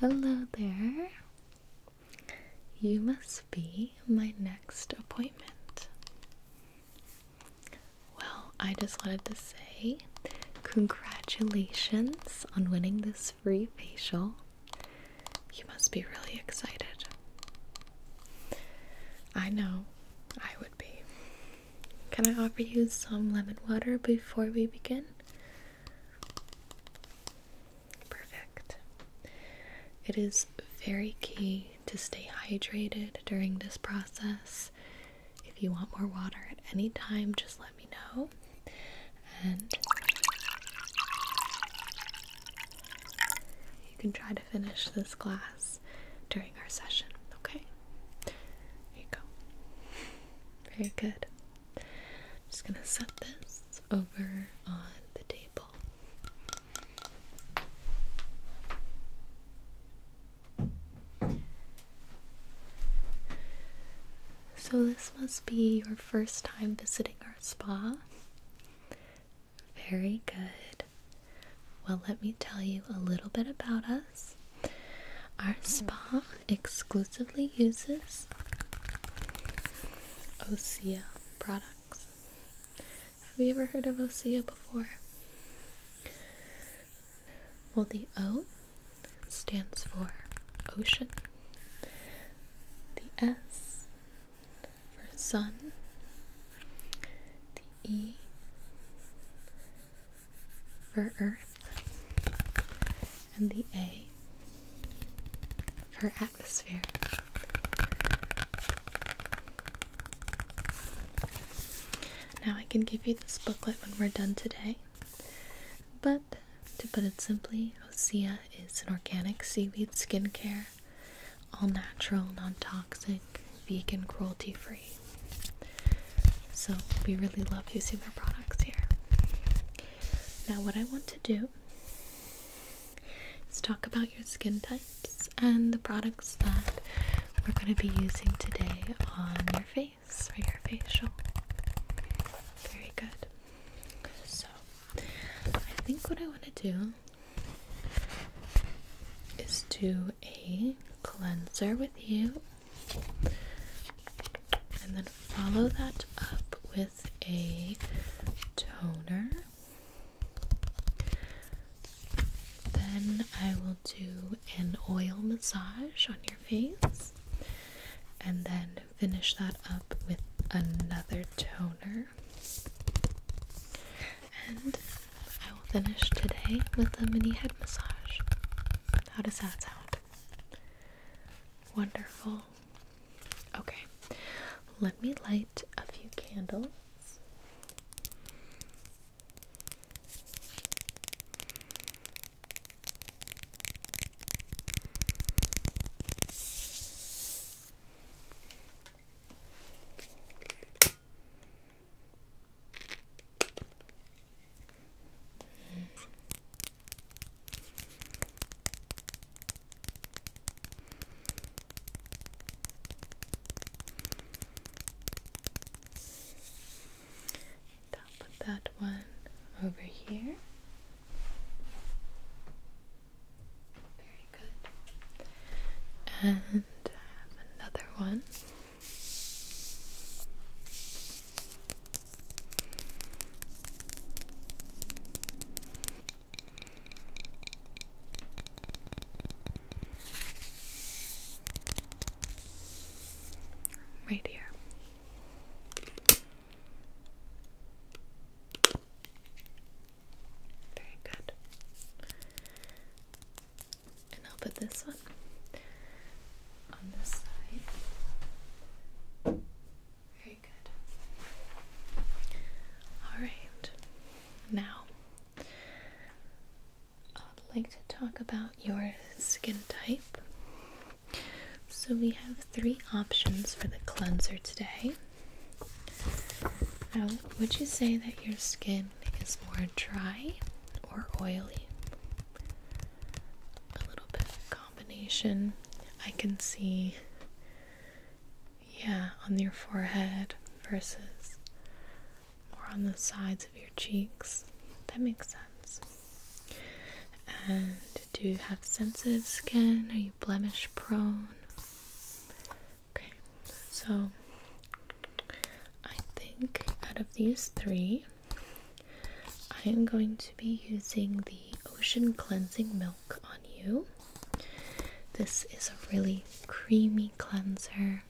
Hello there. You must be my next appointment. Well, I just wanted to say congratulations on winning this free facial. You must be really excited. I know I would be. Can I offer you some lemon water before we begin? Perfect. It is very key to stay hydrated during this process. If you want more water at any time, just let me know. And you can try to finish this glass during our session, okay? There you go. Very good. I'm just going to set this over on the table. So, this must be your first time visiting our spa. Very good. Well, let me tell you a little bit about us. Our spa exclusively uses Osea products. Have you ever heard of Osea before? Well, the O stands for ocean, the S for sun, the E for Earth, and the A for atmosphere. Now I can give you this booklet when we're done today, but to put it simply, Osea is an organic seaweed skincare, all natural, non toxic, vegan, cruelty free. So we really love using their products here. Now, what I want to do is talk about your skin types and the products that we're going to be using today on your face for your facial. Very good. So, I think what I want to do is do a cleanser with you. And then follow that up with a toner. Then I will do an oil massage on your face and then finish that up with another toner. And I will finish today with a mini head massage. How does that sound? Wonderful. Okay, let me light a few candles put that one over here. Very good. And I have another one. Right here. Very good and I'll put this one on this side. Very good. Alright, now I'd like to talk about your skin type. So, we have three options for the cleanser today. would you say that your skin is more dry or oily. A little bit combination. I can see, yeah, on your forehead versus or on the sides of your cheeks. That makes sense. And do you have sensitive skin? Are you blemish prone? Okay, so I think out of these three, I am going to be using the Ocean Cleansing Milk on you. This is a really creamy cleanser.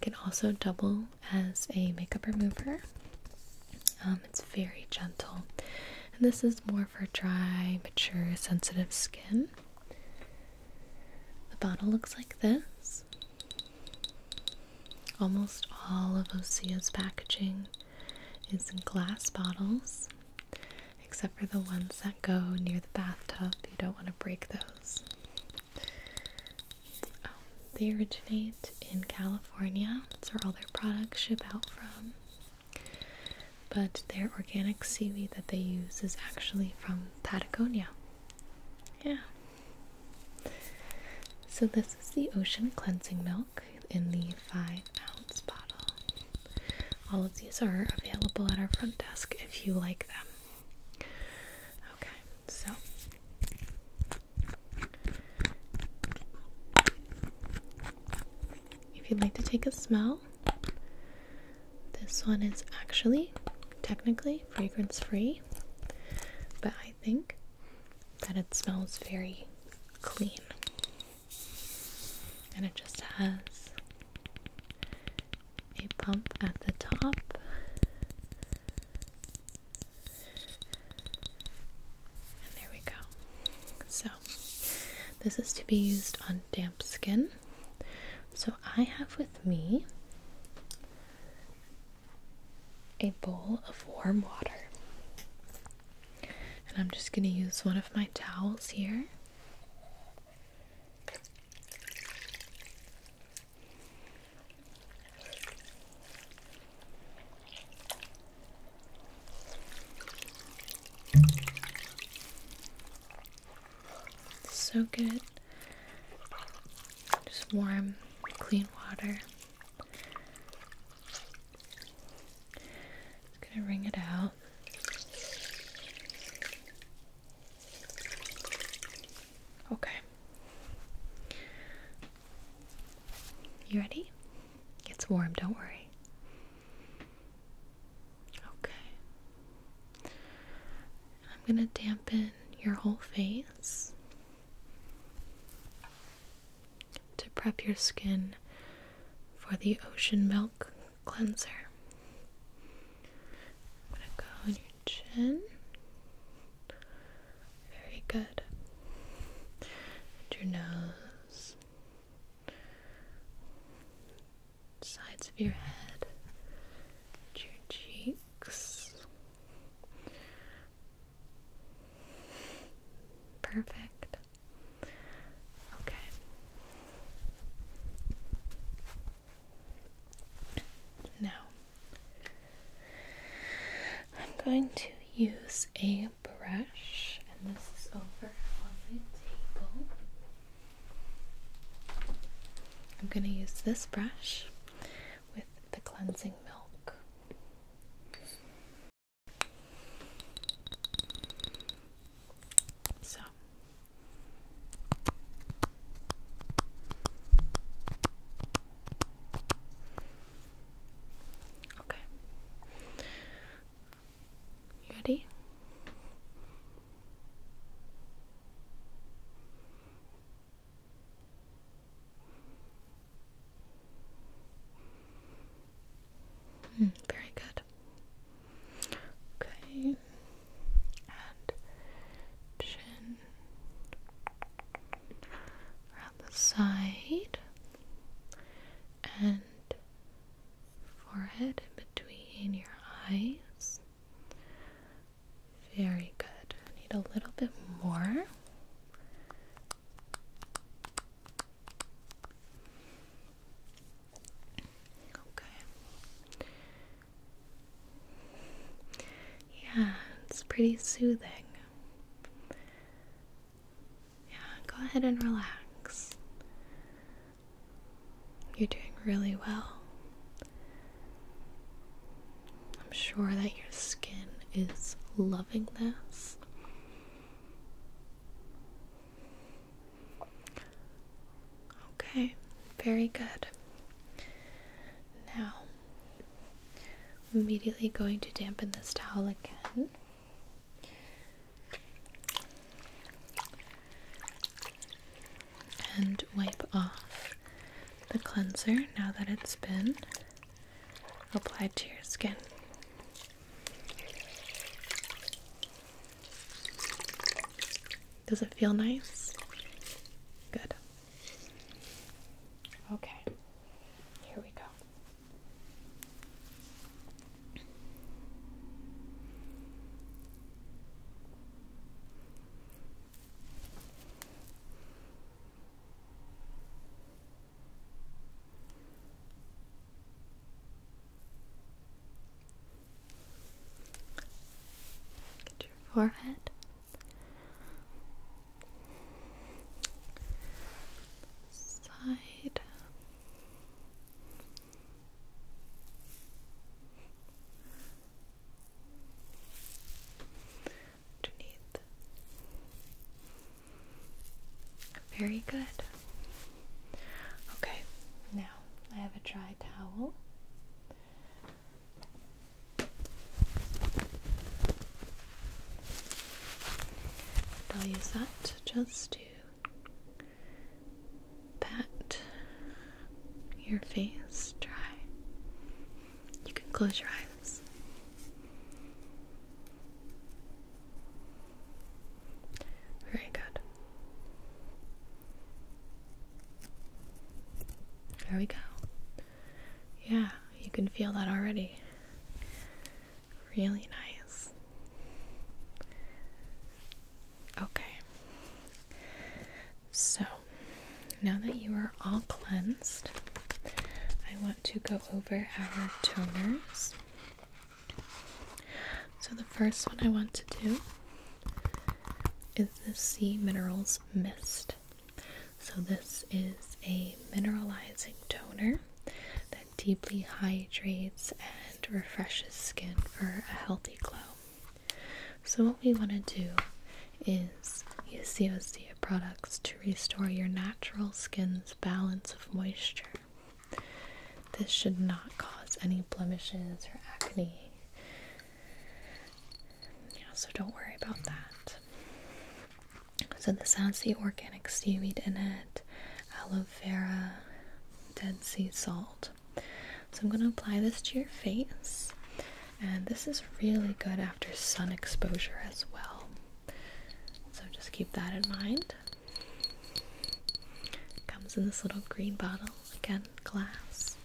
can also double as a makeup remover. Um, it's very gentle, and this is more for dry, mature, sensitive skin. The bottle looks like this. Almost all of Osea's packaging is in glass bottles, except for the ones that go near the bathtub. You don't want to break those. Um, they originate in California. That's where all their products ship out from. But their organic seaweed that they use is actually from Patagonia. Yeah. So, this is the Ocean Cleansing Milk in the 5 ounce bottle. All of these are available at our front desk if you like them. Okay, so if you'd like to take a smell, this one is actually technically fragrance free, but I think that it smells very clean. And it just has a pump at the top. And there we go. So, this is to be used on damp skin. So, I have with me a bowl of warm water. And I'm just going to use one of my towels here. So good. Just warm, clean water. Just gonna wring it out. Okay. You ready? It's warm, don't worry. Okay. I'm gonna dampen your whole face to prep your skin for the ocean milk cleanser. I'm going to go on your chin. Very good. your nose. Sides of your head. your cheek. Perfect. Okay. Now, I'm going to use a brush, and this is over on my table. I'm going to use this brush with the cleansing milk. So Okay. You ready? Hmm, very good. Okay. chin around the side and forehead between your eyes. Very good. need a little bit more. Okay. Yeah, it's pretty soothing. Yeah, go ahead and relax. You're doing really well. I'm sure that your skin is loving this. Okay, very good. Now, I'm immediately going to dampen this towel again. And wipe off the cleanser now that it's been applied to your skin. Does it feel nice? Good. Okay, here we go. Get your forehead. Side. Very good. Okay, now I have a dry towel. I'll use that just to pat your face dry. You can close your eyes. Very good. There we go. Yeah, you can feel that already. Really nice. Okay. So, now that you are all cleansed, I to go over our toners. So, the first one I want to do is the Sea Minerals Mist. So, this is a mineralizing toner that deeply hydrates and refreshes skin for a healthy glow. So, what we want to do is use COCO products to restore your natural skin's balance of moisture. This should not cause any blemishes or acne. so don't worry about that. So this has the organic seaweed in it, aloe vera, dead sea salt. So I'm going to apply this to your face. And this is really good after sun exposure as well. So just keep that in mind. Comes in this little green bottle, again, glass.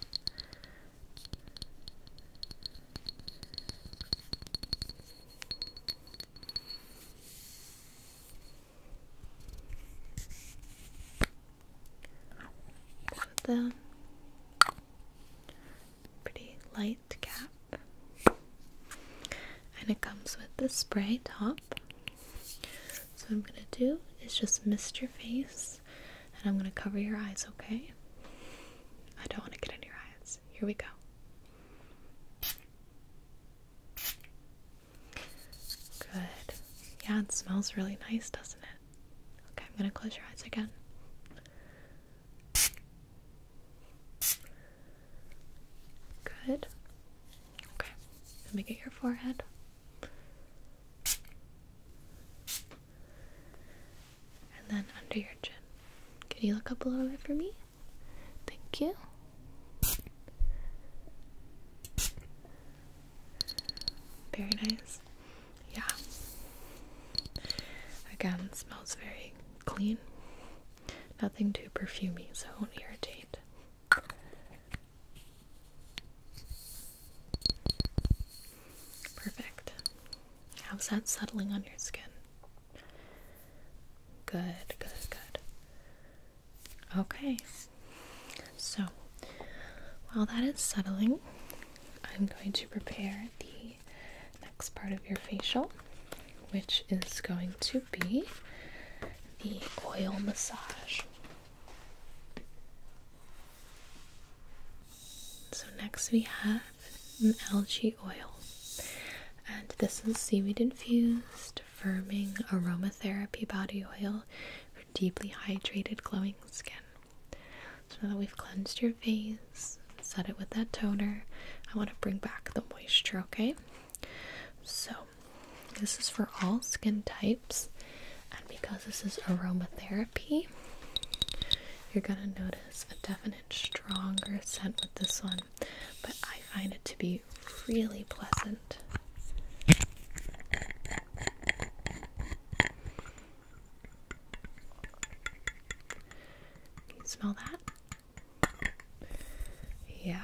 With the pretty light cap. And it comes with the spray top. So, I'm gonna do is just mist your face and I'm gonna cover your eyes, okay? I don't wanna get in your eyes. Here we go. Good. Yeah, it smells really nice, doesn't it? Okay, I'm gonna close your eyes again. Good. Okay. Let me get your forehead. And then under your chin. Can you look up a little bit for me? Thank you. Very nice. Yeah. Again, smells very clean. Nothing too perfumy, so it won't irritate. Perfect. How's that settling on your skin? Good, good, good. Okay, so while that is settling, I'm going to prepare the next part of your facial, which is going to be the oil massage. So, next we have an algae oil, and this is seaweed infused, firming aromatherapy body oil for deeply hydrated, glowing skin. So, now that we've cleansed your face, set it with that toner. I want to bring back the moisture, okay? So, this is for all skin types, and because this is aromatherapy, you're gonna notice a definite stronger scent with this one, but I find it to be really pleasant. Can you smell that? Yeah.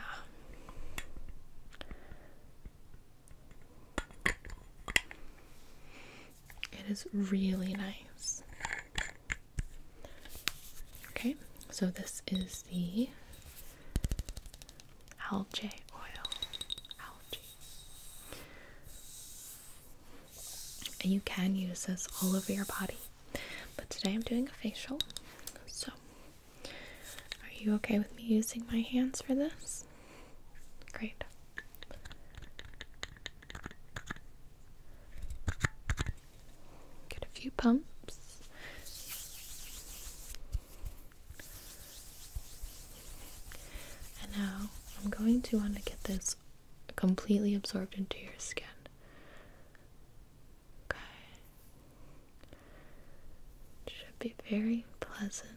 It is really nice. Okay, so this is the algae oil. Algae. And you can use this all over your body. But today I'm doing a facial. So, are you okay with me using my hands for this? Great. Get a few pumps. And now I'm going to want to get this completely absorbed into your skin. Okay. should be very pleasant.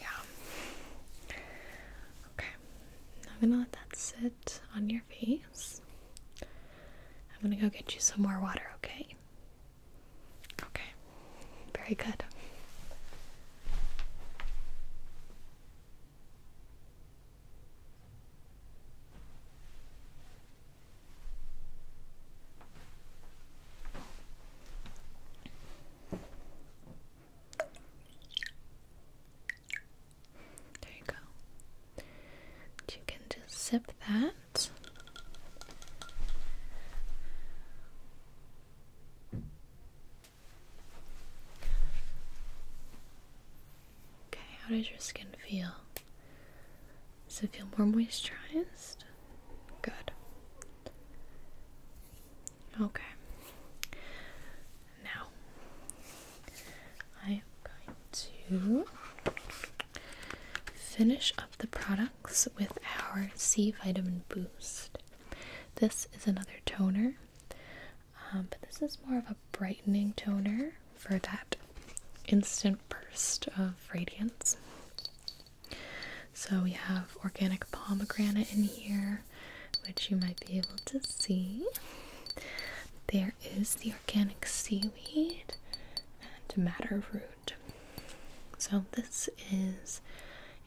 Yeah. Okay. I'm gonna let that sit on your face. I'm gonna go get you some more water, okay? Okay. Very good. There you go. You can just sip that. Okay, how does your skin feel? So feel more moisturized? Good. Okay. Now I am going to finish up the products with our C Vitamin Boost. This is another toner, um, but this is more of a brightening toner for that instant burst of radiance. So we have organic pomegranate in here, which you might be able to see. There is the organic seaweed and matter root. So this is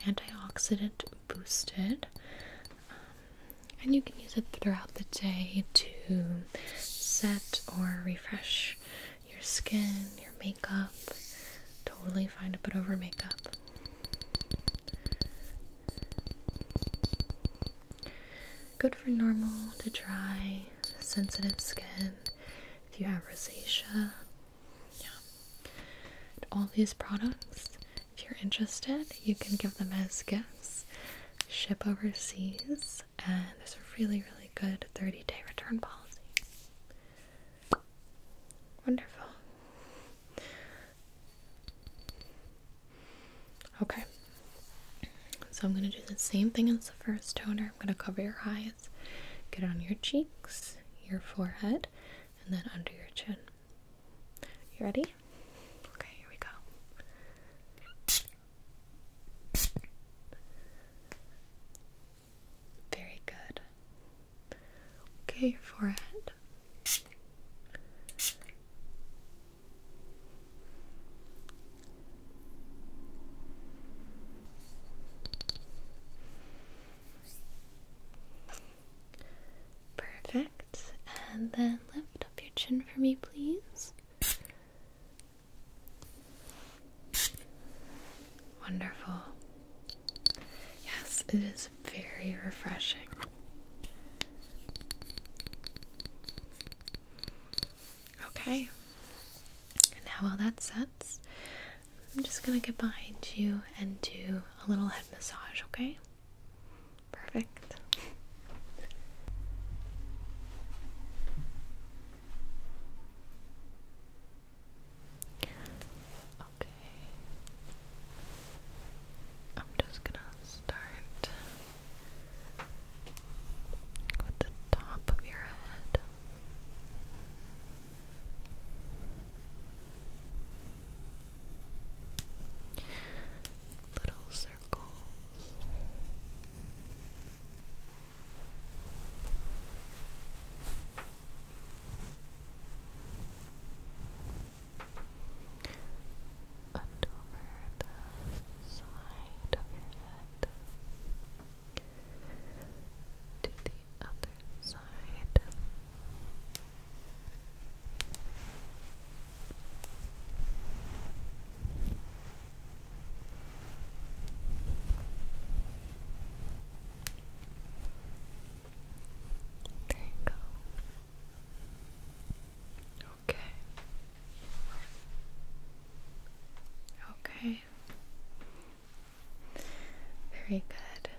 antioxidant boosted. Um, and you can use it throughout the day to set or refresh your skin, your makeup. Totally fine to put over makeup. Good for normal to dry, sensitive skin. If you have rosacea, yeah. all these products, if you're interested, you can give them as gifts, ship overseas, and there's a really, really good 30 day return policy. Wonderful. Okay. So I'm going to do the same thing as the first toner. I'm going to cover your eyes, get on your cheeks, your forehead, and then under your chin. You ready? Okay, here we go. Very good. Okay, your forehead. Perfect. And then lift up your chin for me, please. Wonderful. Yes, it is very refreshing. Okay, now while that sets, I'm just gonna get behind you and do a little head massage, okay? Perfect. Okay. I'm just gonna start with the top of your head. Little circles and over the side of your head to the other side. There you go. Okay. Okay. Very good.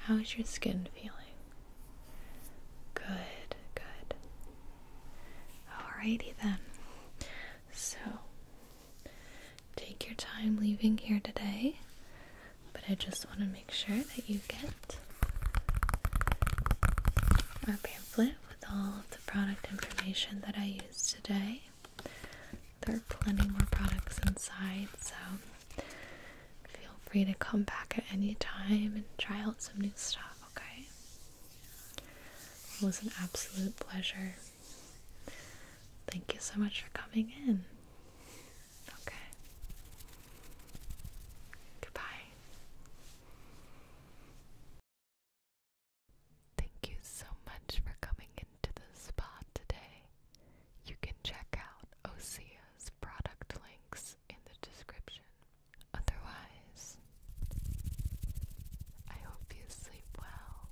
How is your skin feeling? Good, good. Alrighty then. So, take your time leaving here today, but I just want to make sure that you get our pamphlet with all of the product information that I used today. There are plenty more products inside, so feel free to come back at any time and try out some new stuff, okay? It was an absolute pleasure Thank you so much for coming in. Okay. Goodbye. Thank you so much for coming into the spa today. You can check out Osea's product links in the description. Otherwise, I hope you sleep well.